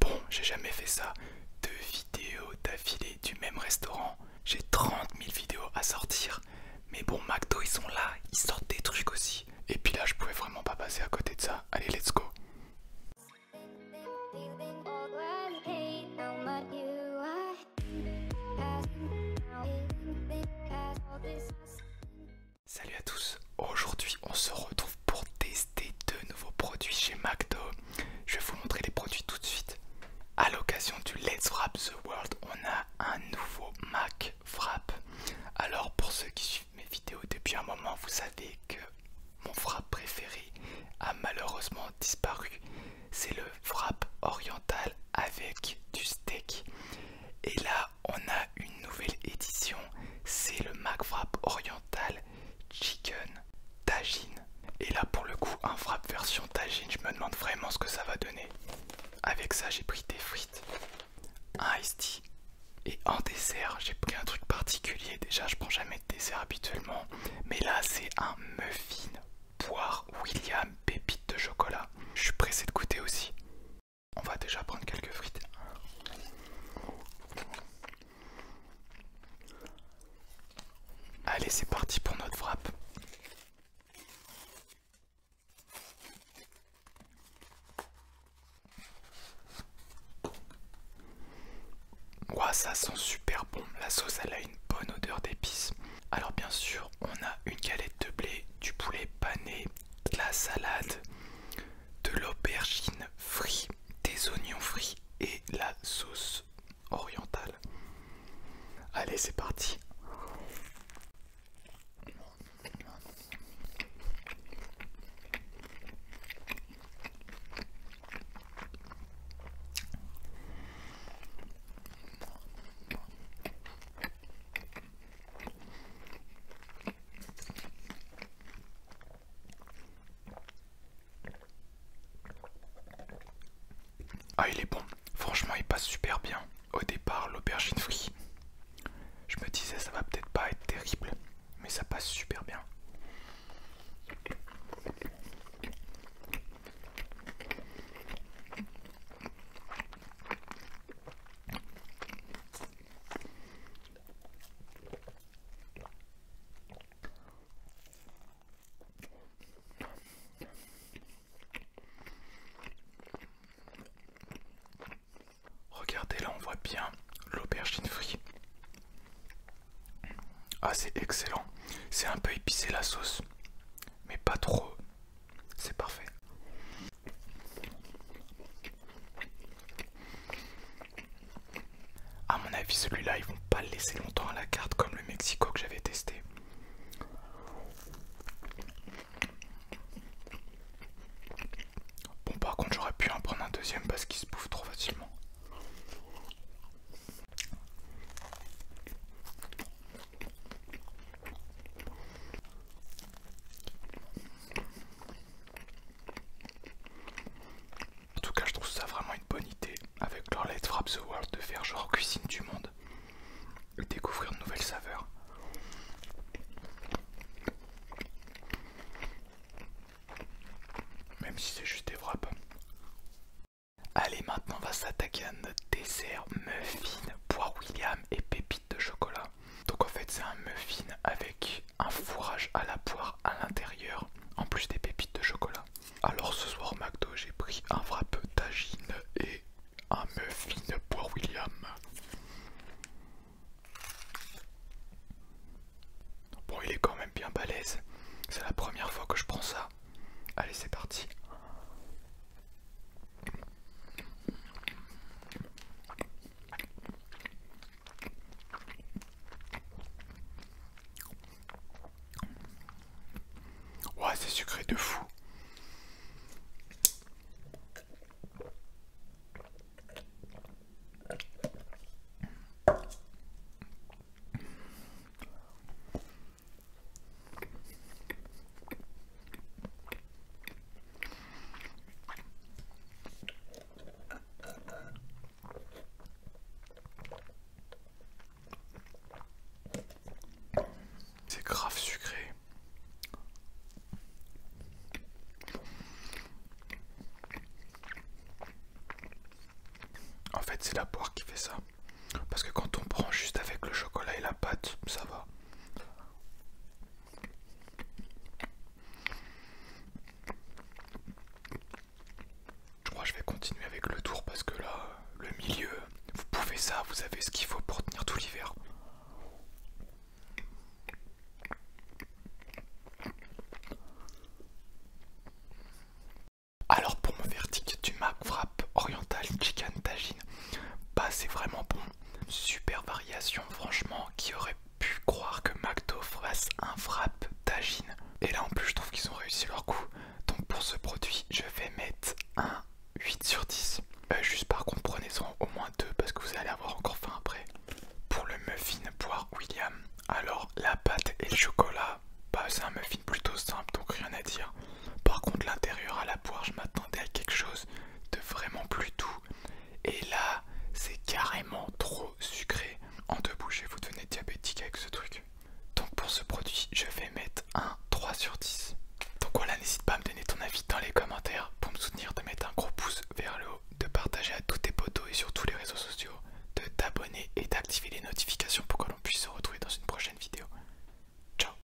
Bon, j'ai jamais fait ça. Deux vidéos d'affilée du même restaurant. J'ai 30 000 vidéos à sortir. Mais bon, McDo, ils sont là. Ils sortent des trucs aussi. Et puis là, je pouvais vraiment pas passer à côté de ça. Allez, let's go. Salut à tous, aujourd'hui on se retrouve pour tester deux nouveaux produits chez McDo. Je vais vous montrer les produits tout de suite. À l'occasion du Let's Wrap the World, on a un nouveau Mac frappe Alors pour ceux qui suivent mes vidéos depuis un moment, vous savez que mon frappe préféré a malheureusement disparu. C'est le frappe oriental avec du steak. Et là on a une nouvelle édition, c'est le McFrap oriental chicken tagine. Et là pour le coup un frappe version tagine, je me demande vraiment ce que ça va donner. Avec ça j'ai pris des frites, un iced tea. Et en dessert, j'ai pris un truc particulier. Déjà, je prends jamais de dessert habituellement. Mais là, c'est un muffin poire William pépite de chocolat. Je suis pressé de goûter aussi. On va déjà prendre quelques frites. Allez, c'est parti pour notre frappe. Ouah, ça sent super bon. La sauce, elle a une bonne odeur d'épices. Alors bien sûr, on a une galette de blé, du poulet pané, de la salade, de l'aubergine frite, des oignons frits et la sauce orientale. Allez, c'est parti. Ah il est bon, franchement il passe super bien. Au départ l'aubergine frite. Je me disais ça va peut-être pas être terrible, mais ça passe super bien. Regardez là on voit bien l'aubergine frite. Ah c'est excellent. C'est un peu épicé la sauce. Mais pas trop. C'est parfait. À mon avis, celui-là, ils vont pas le laisser longtemps à la carte comme le Mexico que j'avais testé. Bon, par contre, j'aurais pu en prendre un deuxième parce qu'il se bouffe trop facilement. En tout cas, je trouve ça vraiment une bonne idée avec leur Frap the World de faire genre cuisine du monde et découvrir de nouvelles saveurs. Même si c'est juste des wraps. Allez, maintenant on va s'attaquer à notre dessert muffin, poire William et pépites de chocolat. Donc en fait c'est un muffin avec un fourrage à la poire à l'intérieur, en plus des pépites de chocolat. Alors ce soir au McDo j'ai pris un frappe tagine et un muffin poire William. Bon il est quand même bien balèze, c'est la première fois que je prends ça. Allez, c'est parti. Ouais, c'est sucré de fou. C'est grave sucré. En fait, c'est la poire qui fait ça. Parce que quand on prend juste avec le chocolat et la pâte, ça va. Je crois que je vais continuer avec le tour parce que là, le milieu, vous pouvez ça, vous avez ce qu'il faut pour tenir tout l'hiver. Alors pour mon verdict du Mac Frappe Oriental Chicken Tagine, bah c'est vraiment bon. Super variation, franchement, qui aurait pu croire que McDo fasse un frappe tagine. Et là en plus je trouve qu'ils ont réussi leur coup. Donc pour ce produit, je vais mettre un 8 sur 10. Euh, juste par contre en au moins 2 parce que vous allez avoir encore faim après. Pour le muffin poire William, alors la pâte et le chocolat, bah, c'est un muffin plutôt simple donc rien à dire. Par contre l'intérieur à la poire je m'attendais à quelque chose de vraiment plus doux. Et là c'est carrément trop sucré. En deux bouchées vous devenez diabétique avec ce truc. Donc pour ce produit je vais mettre un 3 sur 10. Donc voilà n'hésite pas à me donner ton avis dans les commentaires pour me soutenir de mettre un gros pouce vers le haut, de partager à tous tes potos et sur tous les réseaux sociaux de t'abonner et d'activer les notifications pour que l'on puisse se retrouver dans une prochaine vidéo. Ciao